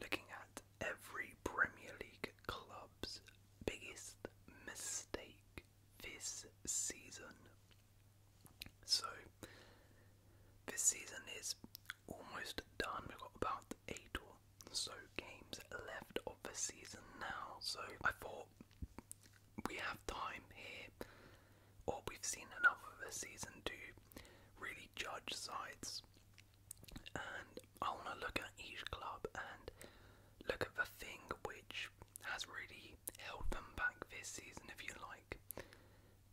Looking at every Premier League club's biggest mistake this season. So, this season is almost done. We've got about eight or so games left of the season now. So, I thought we have time here, or we've seen enough of the season to really judge sides and I want to look at each club and look at the thing which has really held them back this season, if you like.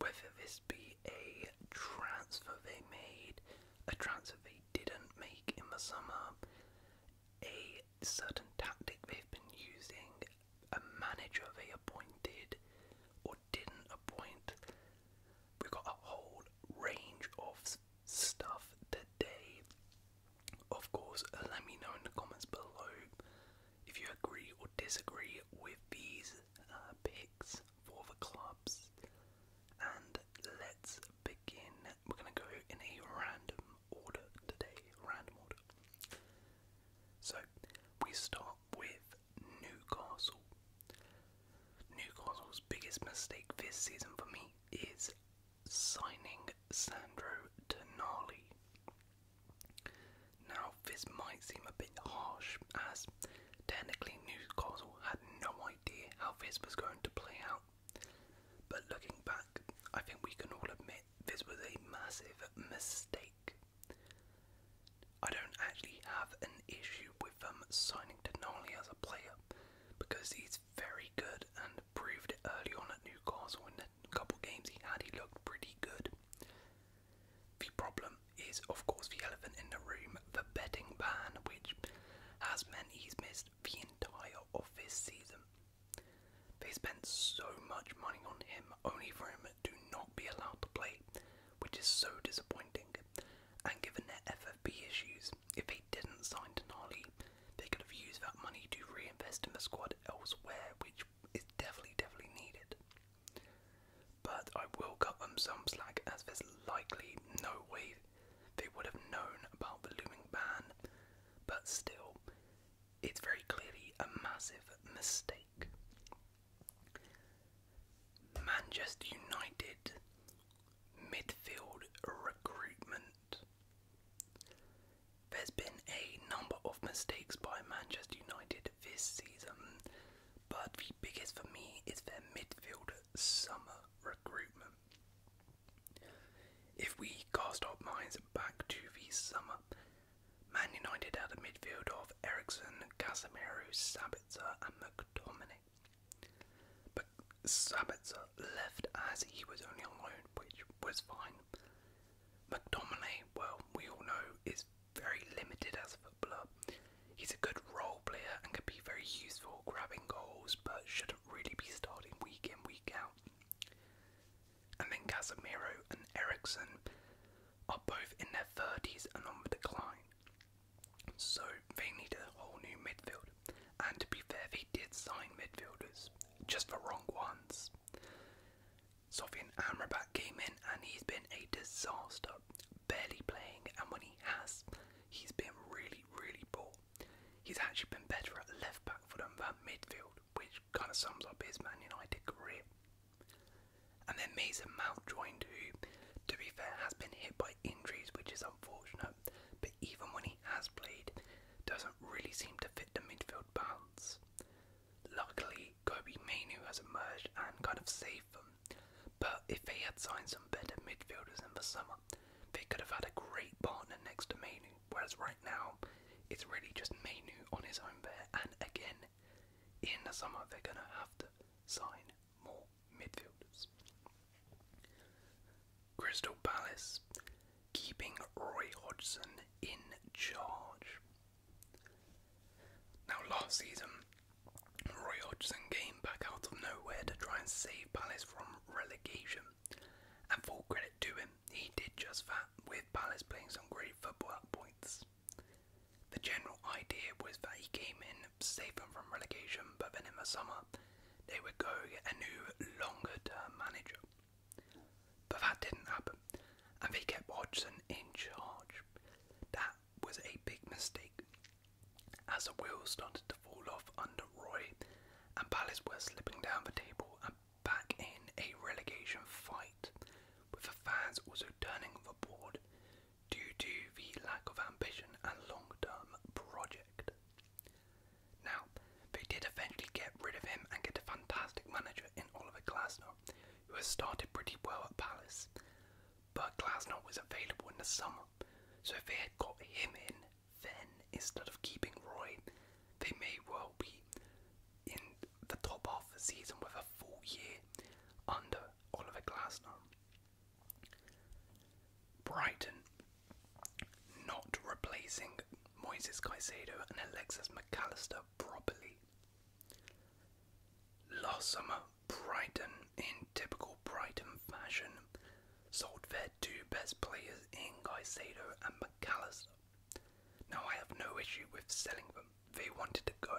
Whether this be a transfer they made, a transfer they didn't make in the summer, a certain tactic they've been using, a manager they appointed or didn't appoint. We've got a whole range of stuff today. Of course, uh, let me know in the comments below if you agree or disagree with these uh, picks for the clubs. And let's begin. We're going to go in a random order today. Random order. So, we start with Newcastle. Newcastle's biggest mistake this season for me is signing Sandro Tonali. Now, this might seem a bit harsh, as technically Newcastle had no idea how this was going to play out. But looking back, I think we can all admit this was a massive mistake. I don't actually have an issue with with them signing Denali as a player because he's very good and proved it early on at Newcastle. In the couple games he had, he looked pretty good. The problem is, of course, the elephant in the room the betting ban, which has meant he's missed the entire of this season. They spent so much money on him only for him to not be allowed to play, which is so disappointing. And given their FFP issues, if he didn't sign Denali, they could have used that money to reinvest in the squad elsewhere, which is definitely, definitely needed. But I will cut them some slack as there's likely no way they would have known about the looming ban, but still, it's very clearly a massive mistake. Manchester United midfield recruitment. There's been a number of mistakes by Manchester United this season, but the biggest for me is their midfield summer recruitment. If we cast our minds back to the summer, Man United had a midfield of Ericsson, Casemiro, Sabitzer, and McTominay. But Sabitzer left as he was only on loan, which was fine. McDominay, well, we all know, is very limited as a footballer. He's a good role player and can be very useful grabbing goals, but shouldn't really be starting week in, week out. And then Casemiro and Eriksson are both in their 30s and on the decline. So they need a whole new midfield. And to be fair, they did sign midfielders, just for wrong ones. Sofian Amrabat came in and he's been a disaster, barely playing, and when he has, he's been really, really poor. He's actually been better at left back than at midfield, which kind of sums up his Man United career. And then Mason Mount joined, who, to be fair, has been hit by injuries, which is unfortunate. But even when he has played, doesn't really seem to fit the midfield balance. Luckily, Kobe Mainu has emerged and kind of saved them. But if they had signed some better midfielders in the summer, they could have had a great partner next to Mainu. Whereas right now, it's really just Mainu on his own there. And again, in the summer, they're going to have to sign more midfielders. Crystal Palace keeping Roy Hodgson in charge. Now, last season, Roy Hodgson came back out of nowhere to try and save Palace from relegation. And full credit to him, he did just that, with Palace playing some great football at points. The general idea was that he came in save them from relegation, but then in the summer they would go get a new longer term manager. But that didn't happen, and they kept Hodgson in charge. That was a big mistake. As the wheels started to fall off under Roy, and Palace were slipping down the table and back in a relegation fight, with the fans also turning on the board due to the lack of ambition and long term project. Now, they did eventually get rid of him and get a fantastic manager in Oliver Glasner, who has started pretty well at Palace. But Glasner was available in the summer, so if they had got him in, then instead of keeping Roy, they may well be in the top half of the season with a full year under Oliver Glasner. Brighton not replacing Moises Caicedo and Alexis McAllister properly. Last Brighton, in typical Brighton fashion, sold their two best players in Caicedo and McAllister. Now, I have no issue with selling them. They wanted to go.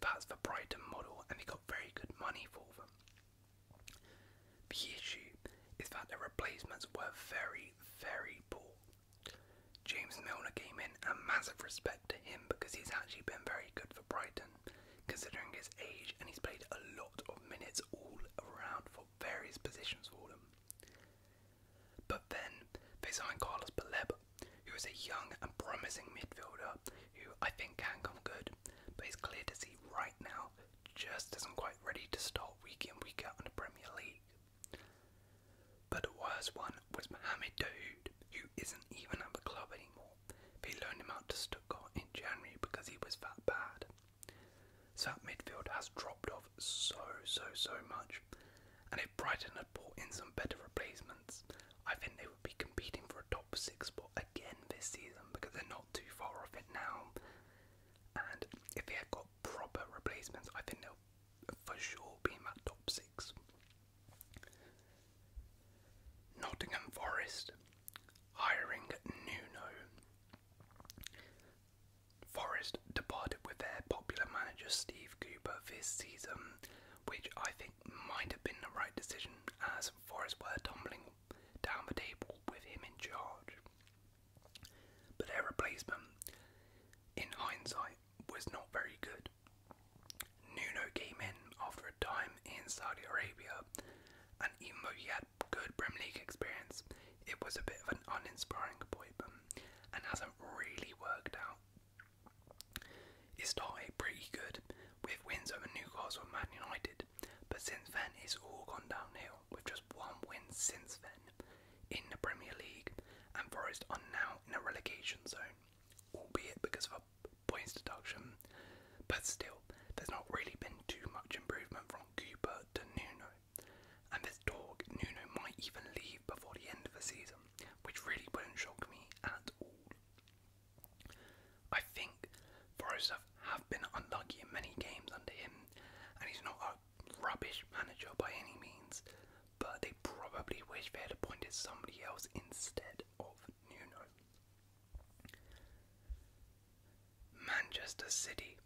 That's the Brighton model, and he got got very good money for them. The issue is that the replacements were very, very poor. James Milner came in, and massive respect to him because he's actually been very good for Brighton, considering his age, and he's played a lot of minutes all around for various positions for them. But then they signed Carlos Baleb who is a young and promising midfielder who I think can come good, but it's clear to see right now just isn't quite ready to start week in week out in the Premier League. But the worst one was Mohamed Daoud, who isn't even at the club anymore. They loaned him out to Stuttgart in January because he was that bad. So that midfield has dropped off so, so, so much, and if Brighton had brought in some better replacements, I think they be competing for a top six spot again this season because they're not too far off it now. And if they had got proper replacements, I think they'll for sure be in that top six. Nottingham Forest hiring Nuno. Forest departed with their popular manager Steve Cooper this season which I think might have been the right decision as Forest were tumbling down the table with him in charge. But their replacement, in hindsight, was not very good. Nuno came in after a time in Saudi Arabia, and even though he had good Premier League experience, it was a bit of an uninspiring appointment and hasn't really worked out it started pretty good with wins over Newcastle and Man United, but since then it's all gone downhill with just one win since then in the Premier League, and Forest are now in a relegation zone, albeit because of a points deduction. But still, there's not really been too much improvement from Cooper to Nuno, and there's talk Nuno might even leave before the end of the season, which really wouldn't shock me at all. I think Forrester have been unlucky in many games under him, and he's not a rubbish manager by any means, but they probably wish they had appointed somebody else instead of Nuno. Manchester City,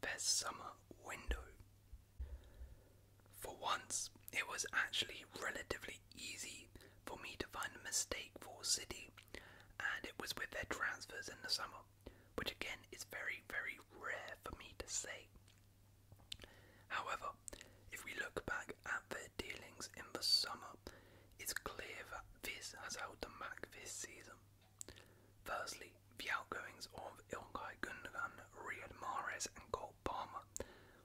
their summer window. For once, it was actually relatively easy for me to find a mistake for City, and it was with their transfers in the summer, which again is very, very rare for me to say. However, if we look back at their dealings in the summer, it's clear that this has held them back this season. Firstly, the outgoings of Ilkay Gundogan, Riyad Mahrez, and Cole Palmer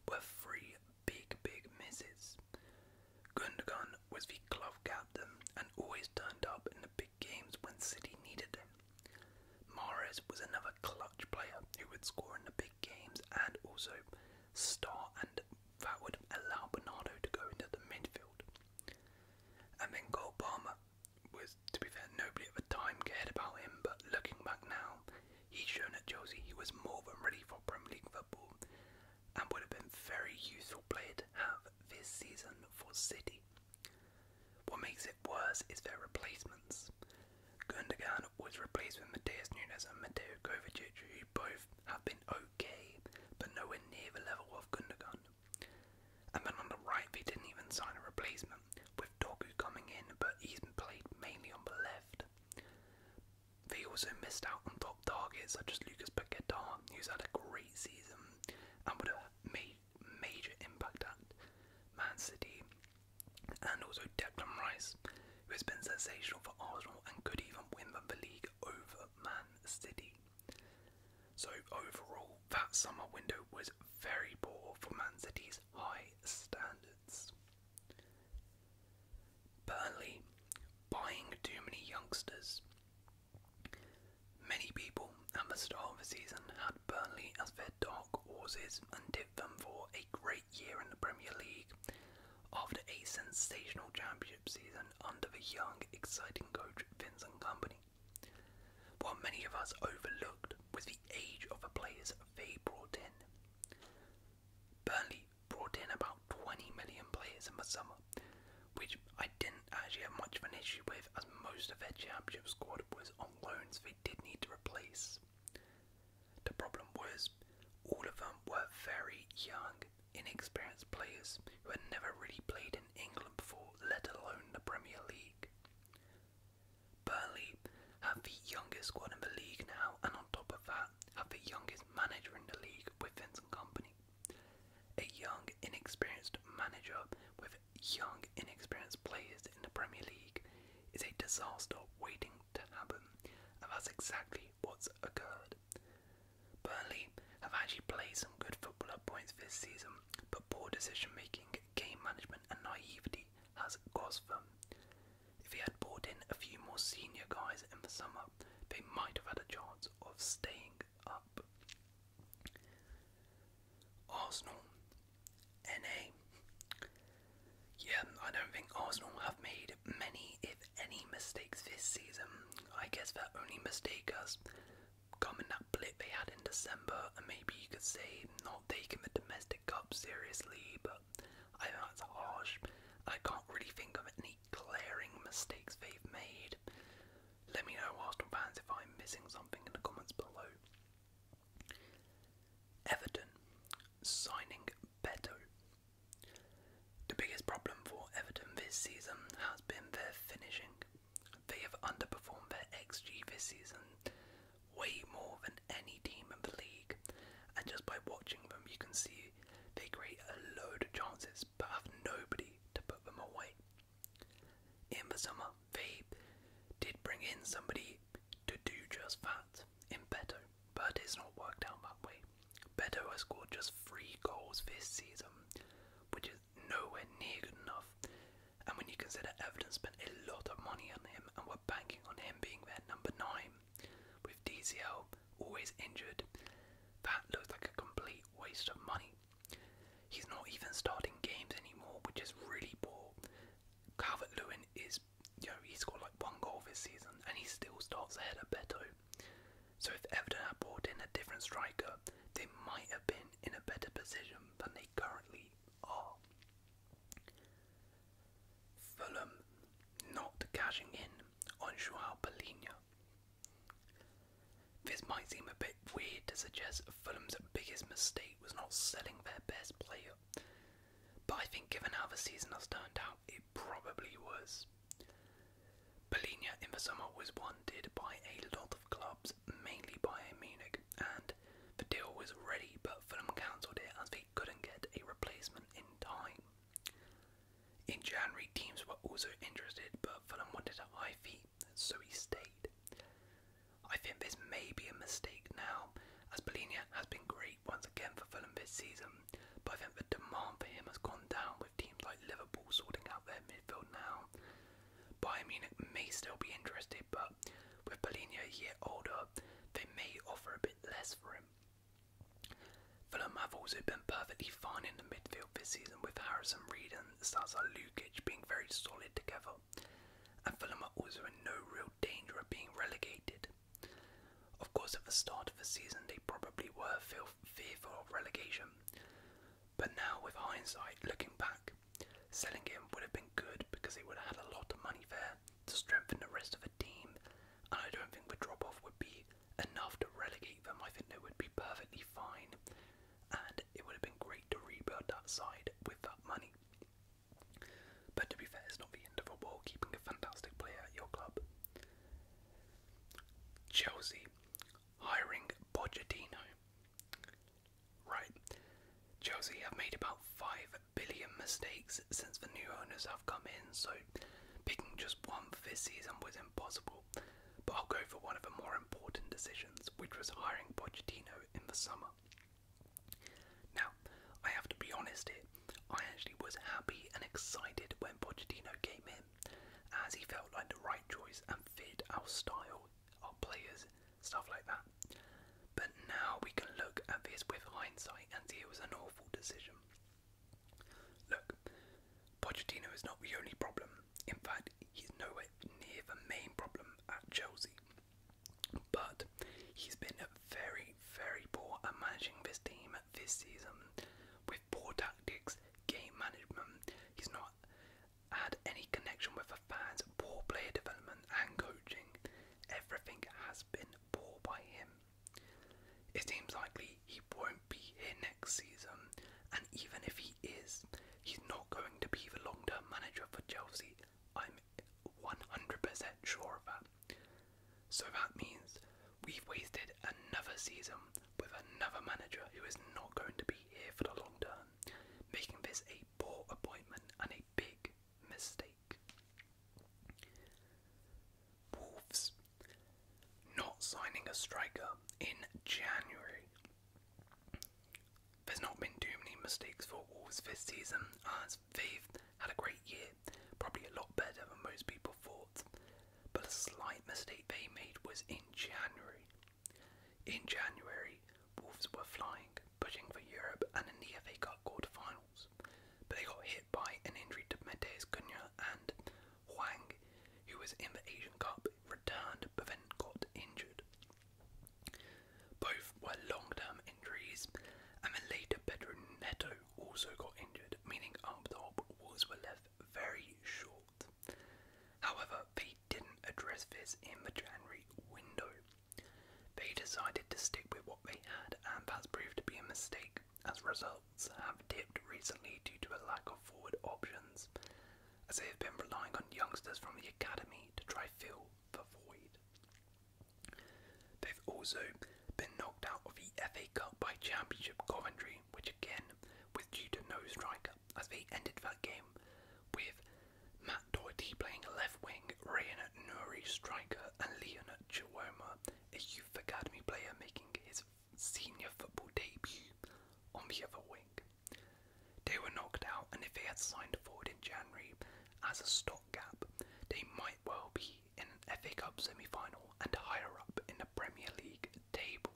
were free big, big misses. Gundogan was the club captain and always turned up in the big games when City needed him. Mares was another clutch player who would score in the big games and also star, and that would allow Bernardo to go into the midfield. And then Cole was, to be fair, nobody at the time cared about him, but looking back now, He's shown at Chelsea he was more than ready for Premier League football and would have been very useful player to have this season for City. What makes it worse is their replacements. Gundogan was replaced with Mateus Nunes and Mateo Kovacic, who both have been okay, but nowhere near the level of Gundogan. And then on the right, they didn't even sign a replacement, with Dogu coming in, but he's played mainly on the left left. They also missed out on top targets such as Lucas Paquetá, who's had a great season and would have made major impact at Man City, and also Declan Rice, who has been sensational for Arsenal and could even win the league over Man City. So overall, that summer window was very poor for Man City's high standards. Burnley buying too many youngsters. Many people at the start of the season had Burnley as their dark horses and tipped them for a great year in the Premier League after a sensational championship season under the young, exciting coach Vincent Company. What many of us overlooked was the age of the players they brought in. Burnley brought in about 20 million players in the summer, which I didn't actually have much of an issue with, as most of their championship squad was on loans they did need to replace. The problem was, all of them were very young, inexperienced players who had never really played in England before, let alone the Premier League. Burnley have the youngest squad in the league now, and on top of that, have the youngest manager in the league with Vincent Company. A young, inexperienced manager with young, inexperienced players in the Premier League is a disaster waiting to happen, and that's exactly what's occurred. Burnley have actually played some good football at points this season, but poor decision making, game management, and naivety has cost them. If he had brought in a few more senior guys in the summer, they might have had a chance of staying up. Arsenal, NA. Yeah, I don't think Arsenal have made many, if any, mistakes this season. I guess their only mistake was coming in that blip they had in December, and maybe you could say not taking the domestic to seriously, but I know that's harsh. I can't really think of any glaring mistakes they've made. Let me know, Arsenal fans, if I'm missing something in the comments below. Everton signing Beto. The biggest problem for Everton this season has been their finishing. They have underperformed their XG this season way more than any team in the league. And just by watching them, you can see they create a load of chances but have nobody to put them away. In the summer, they did bring in somebody to do just that in Beto, but it's not worked out that way. Beto has scored just three goals this season, which is nowhere near good enough. And when you consider Everton spent a lot of money on him and were banking on him him being their number nine, with DCL always injured. That looks like a complete waste of money. He's not even starting games anymore, which is really poor. Calvert Lewin is, you know, he scored like one goal this season and he still starts ahead of Beto. So if Everton had brought in a different striker, they might have been in a better position than they currently are. Fulham not cashing in on Joao Polina. This might seem a bit weird to suggest Fulham's biggest mistake was not selling their best player, but I think given how the season has turned out, it probably was. Polina in the summer was wanted by a lot of clubs, mainly by Munich, and the deal was ready, but Fulham cancelled it as they couldn't get a replacement in time. In January, teams were also interested, but Fulham wanted a high fee, so he stayed. I think this may be a mistake now, as Bolinia has been great once again for Fulham this season, but I think the demand for him has gone down with teams like Liverpool sorting out their midfield now. Bayern Munich may still be interested, but with Polina a year older, they may offer a bit less for him. Fulham have also been perfectly fine in the midfield this season with Harrison Reed and the stars Sasa Lukic being very solid together. And Fulham are also in no real danger of being relegated. Of course, at the start of the season, they probably were fearful of relegation. But now, with hindsight, looking back, selling him would have been good because it would have had a lot of money there to strengthen the rest of the team, and I don't think the drop off would be enough to relegate them. I think they would be perfectly fine, and it would have been great to rebuild that side with that money. But to be fair, it's not the end of the world keeping a fantastic player at your club. Chelsea hiring Pochettino. Right, Chelsea have made about five billion mistakes since the new owners have come in, so picking just one for this season was impossible. But I'll go for one of the more important decisions, which was hiring Pochettino in the summer. Now, I have to be honest here, I actually was happy and excited when Pochettino came in, as he felt like the right choice and fit our style, our players, stuff like that. But now we can look at this with hindsight and see it was an awful decision. Look, Pochettino is not the only problem. In fact, he's nowhere near the main problem at Chelsea. But he's been very, very poor at managing this team this season with poor tactics, game management. He's not had any connection with the of fans, poor player development and coaching. Everything has been poor by him. It seems likely he won't be here next season, and even if he is, he's not going to be the long term manager for Chelsea. I'm 100% sure of that. So that means we've wasted another season with another manager who is not going to be here for the long term, making this a poor appointment and a big, mistake. Wolves not signing a striker in January. There's not been too many mistakes for Wolves this season as they've had a great year, probably a lot better than most people thought. But a slight mistake they made was in January. In January, Wolves were flying, pushing for Europe and in the FA quarterfinals, but they got hit by an injury to Mateus Cunha and Huang, who was in the Asian Cup, returned but then got injured. Both were long-term injuries, and then later Pedro Neto also got injured, meaning up top walls were left very short. However, they didn't address this in the January window, they decided to stick with what they had, and that's proved to be a mistake, as results have dipped recently due to a lack of forward options, as they have been relying on youngsters from the academy to try fill the void. They've also been knocked out of the FA Cup by Championship Coventry, which again was due to no striker, as they ended that game with Matt Doherty playing left wing, Rayan Nuri striker, and Leon Chiwoma, a youth academy player, making his senior football debut on the other wing. They were knocked out, and if they had signed a forward in January as a stopgap, they might well be in an FA Cup semi final and higher up in the Premier League table.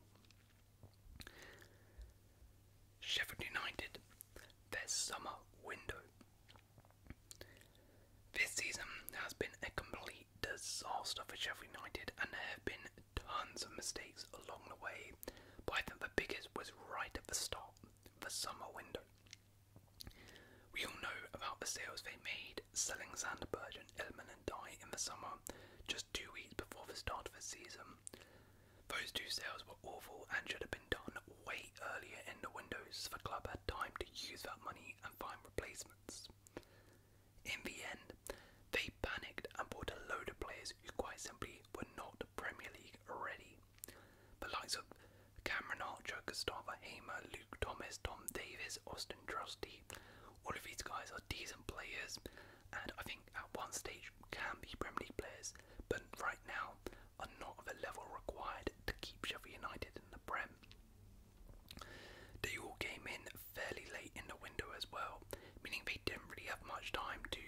Sheffield United, their summer window. This season has been a complete disaster for Sheffield United, and there have been tons of mistakes along the way, but I think the biggest was right at the start, the summer window. We all know about the sales they made, selling Sandberg and Illman and Dye in the summer, just two weeks before the start of the season, those two sales were awful and should have been done way earlier in the windows so the club had time to use that money and find replacements. In the end, they panicked and bought a load of players who quite simply were not Premier League ready. The likes of Cameron Archer, Gustavo Hamer, Luke Thomas, Tom Davis, Austin Trusty, all of these guys are decent players and I think at one stage can be Premier League players, but right now are not of a level required to keep Sheffield United in the Prem. They all came in fairly late in the window as well, meaning they didn't really have much time to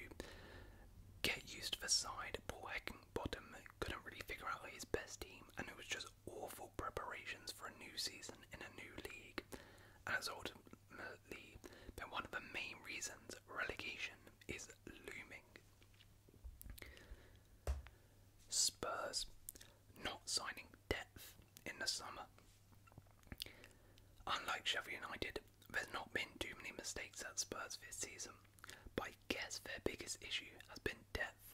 get used to the side. Paul Heckingbottom couldn't really figure out his best team, and it was just awful preparations for a new season in a new league. And as ultimately, been one of the main reasons relegation is looming. Spurs not signing depth in the summer. Unlike Sheffield United, there's not been too many mistakes at Spurs this season, but I guess their biggest issue has been depth.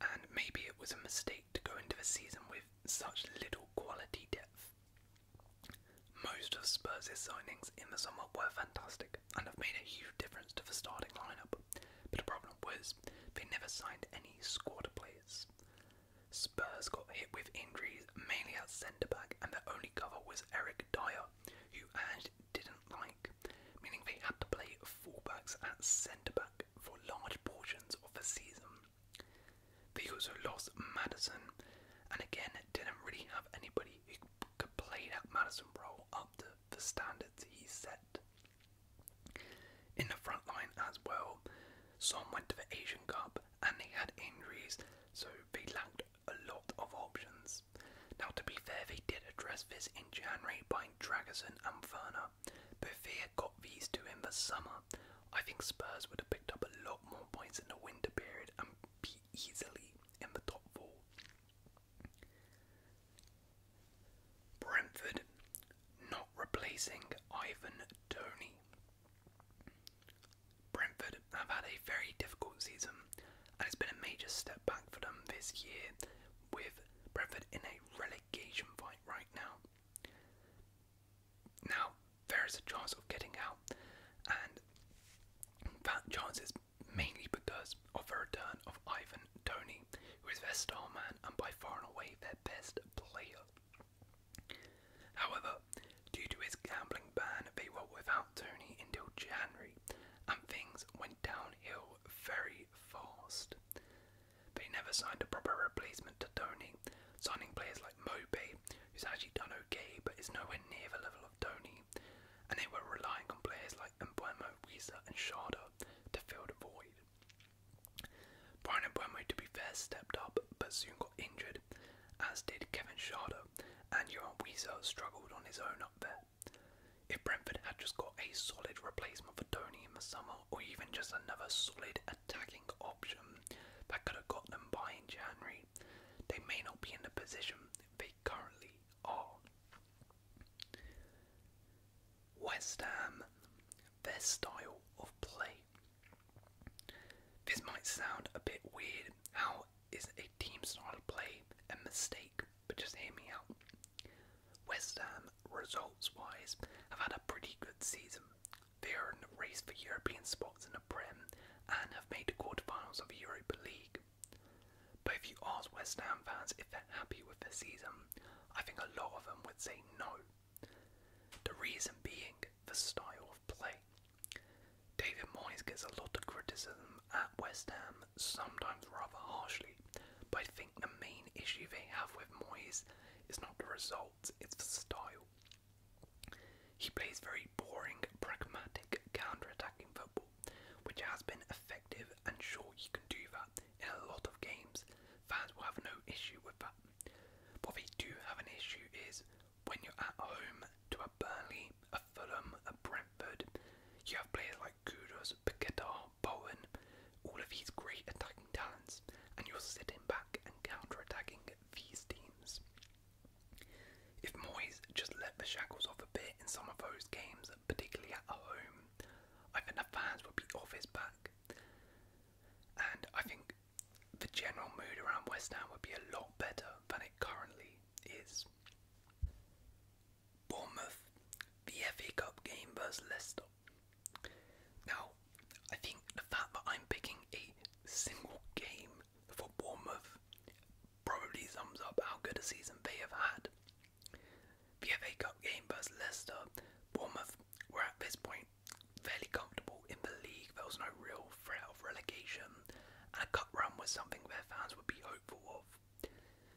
And maybe it was a mistake to go into the season with such little quality depth. Most of Spurs' signings in the summer were fantastic and have made a huge difference to the starting lineup, but the problem was they never signed any squad players. Spurs got hit with injuries mainly at centre back, and their only cover was Eric Dyer, who Ange didn't like, meaning they had to play fullbacks at centre back for large portions of the season. They also lost Madison and again didn't really have anybody anybody could play that Madison role up to the standards he set. In the front line as well, Some went to the Asian Cup and they had injuries, so they lacked a lot of options. Now, to be fair, they did address this in January by Dragason and Verna, but if they had got these two in the summer, I think Spurs would have picked up a lot more points in the winter period and easily in the top four. Brentford not replacing Ivan Tony. Brentford have had a very difficult season and it's been a major step back for them this year with Brentford in a relegation fight right now. Now, there is a chance of getting out, that chance is mainly because of the return of Ivan Tony, who is their star man and by far and away their best player. However, due to his gambling ban, they were without Tony until January, and things went downhill very fast. They never signed a proper replacement to Tony, signing players like Moby who's actually done okay but is nowhere near the level of Tony, and they were relying on players like Mbuemo, Risa, and Sharda to fill the void. Brian Mbuemo, to be fair, stepped up but soon got injured, as did Kevin Sharda, and Johan Wiesa struggled on his own up there. If Brentford had just got a solid replacement for Tony in the summer, or even just another solid attacking option that could have got them by in January, they may not be in the position they currently are. West Ham, their style of play. This might sound a bit weird. How is a team style of play a mistake? But just hear me out. West Ham, results wise, have had a pretty good season. They are in the race for European spots in the Prem and have made the quarterfinals of the Europa League. But if you ask West Ham fans if they're happy with their season, I think a lot of them would say no. The reason being the style of play. David Moyes gets a lot of criticism at West Ham, sometimes rather harshly, but I think the main issue they have with Moyes is not the results, it's the style. He plays very boring, pragmatic, counter-attacking football, which has been effective and sure he can do that in a lot of games. Fans will have no issue with that. What they do have an issue is when you're at home to a Burnley, a Fulham, a Brentford, you have players like Kudos, Paqueta, Bowen, all of these great attacking talents, and you're sitting back and counter-attacking these teams. If Moyes just let the shackles off a bit in some of those games, particularly at home, I think the fans would be off his back. And I think the general mood around West Ham would be a lot better than it currently is. Bournemouth, the FA Cup game versus Leicester. Now, I think the fact that I'm picking a single game for Bournemouth probably sums up how good a season they have had. The FA Cup game versus Leicester, Bournemouth were at this point fairly comfortable in the league. There was no real threat of relegation, and a cup run was something their fans would be hopeful of.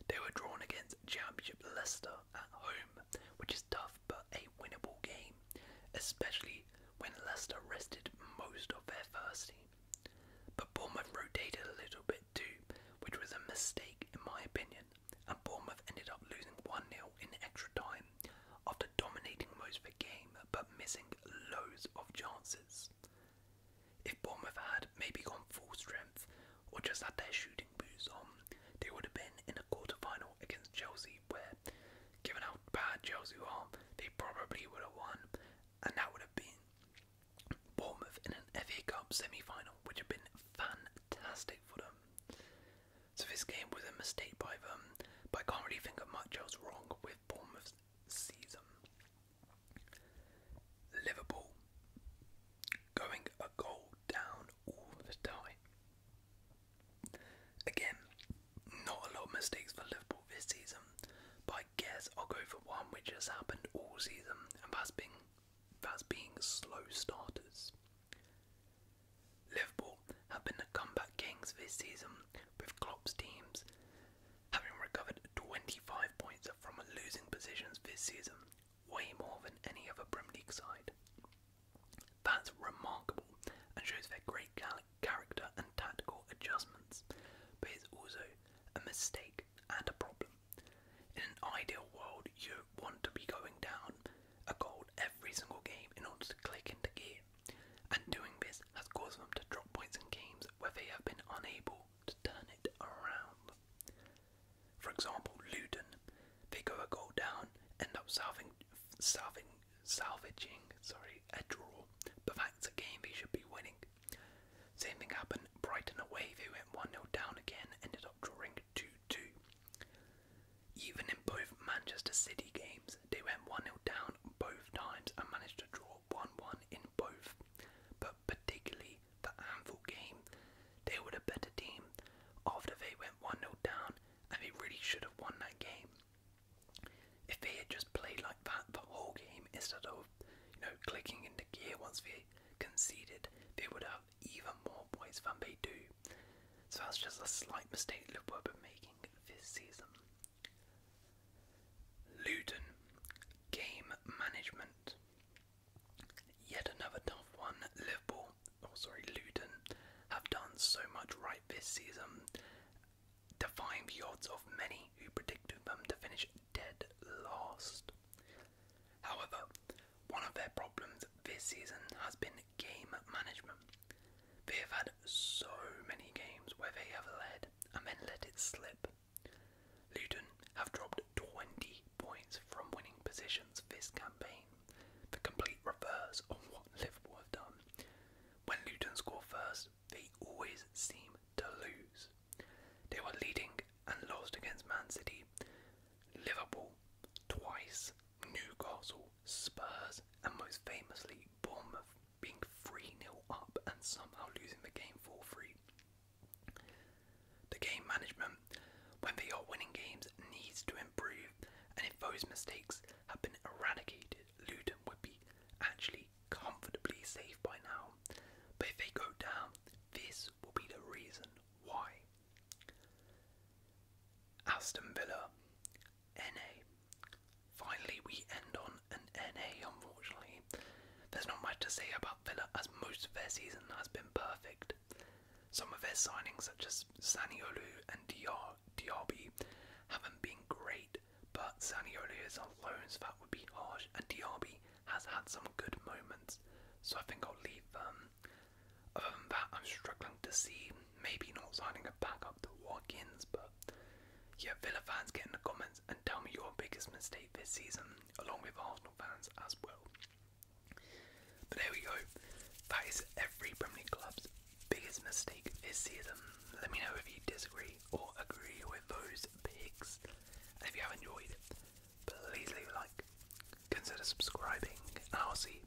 They were drawn against Championship Leicester at home, which is tough but a winnable game, especially when Leicester rested most of their first team. But Bournemouth rotated a little bit too, which was a mistake in my opinion, and Bournemouth ended up losing 1 0 in extra time after dominating most of the game but missing loads of chances. If Bournemouth had maybe gone full strength or just had their shooting boots on, they would have been in a quarter final against Chelsea, where, given how bad Chelsea are, they probably would have won and that would have been Bournemouth in an FA Cup semi final, which would have been fantastic for them. So this game was a mistake by them, but I can't really think of much else wrong with Bournemouth's season. Liverpool going a goal down all the time. Again, not a lot of mistakes for Liverpool this season, but I guess I'll go for one which has happened all season, and that's being, that's being slow starters. Liverpool have been the comeback kings this season, with Klopp's teams having recovered 25 points from losing positions this season, way more than any other Premier League side. That's remarkable and shows their great character and tactical adjustments, but it's also a mistake and a problem. In an ideal world, you want to be going down a goal every single game in order to click into gear, and doing this has caused them to drop points in games where they have been unable to turn it around. For example, Luden, they go a goal down, end up solving salving salvaging, sorry, a draw, but that's a game they should be winning. Same thing happened, Brighton away, they went 1 0 down again, ended up drawing 2 2. Even in both Manchester City games, they went 1 0 down both times and managed to draw 1 1 in both. But particularly the Anfield game, they were the better team after they went 1 0 down and they really should have won that game. If they had just played like that the whole game instead of, you know, clicking into gear once they conceded, they would have even more points than they do. So that's just a slight mistake Liverpool have been making this season. Luton game management. Yet another tough one. Liverpool, oh sorry, Luton have done so much right this season, defying the odds of many who predicted them to finish dead last. However, one of their problems this season has been game management. They have had so many games where they have led and then let it slip. Luton have dropped 20 points from winning positions this campaign, the complete reverse of what Liverpool have done. When Luton score first, they always seem to lose. They were leading and lost against Man City, Liverpool twice, Newcastle, Spurs, and most famously Bournemouth being 3 0 up and somehow losing the game 4 3. The game management, when they are winning games, needs to improve, and if those mistakes have been eradicated, Luton would be actually comfortably safe by now. But if they go down, this will be the reason why. Aston Villa, NA. Finally, we end on an NA, unfortunately. There's not much to say about Villa as most of their season has been perfect. Some of their signings, such as Olu, and Diar, Diaby haven't been great, but Saniolo is on loans, that would be harsh, and Diaby has had some good moments, so I think I'll leave them. Um, other than that, I'm struggling to see maybe not signing a backup to Watkins, but yeah, Villa fans get in the comments and tell me your biggest mistake this season, along with Arsenal fans as well. But there we go. That is every Premier League club's biggest mistake is see them. Let me know if you disagree or agree with those picks. If you have enjoyed it, please leave a like, consider subscribing, and I'll see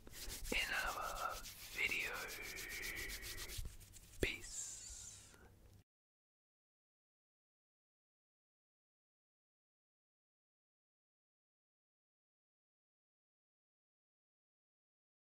in our video. Peace.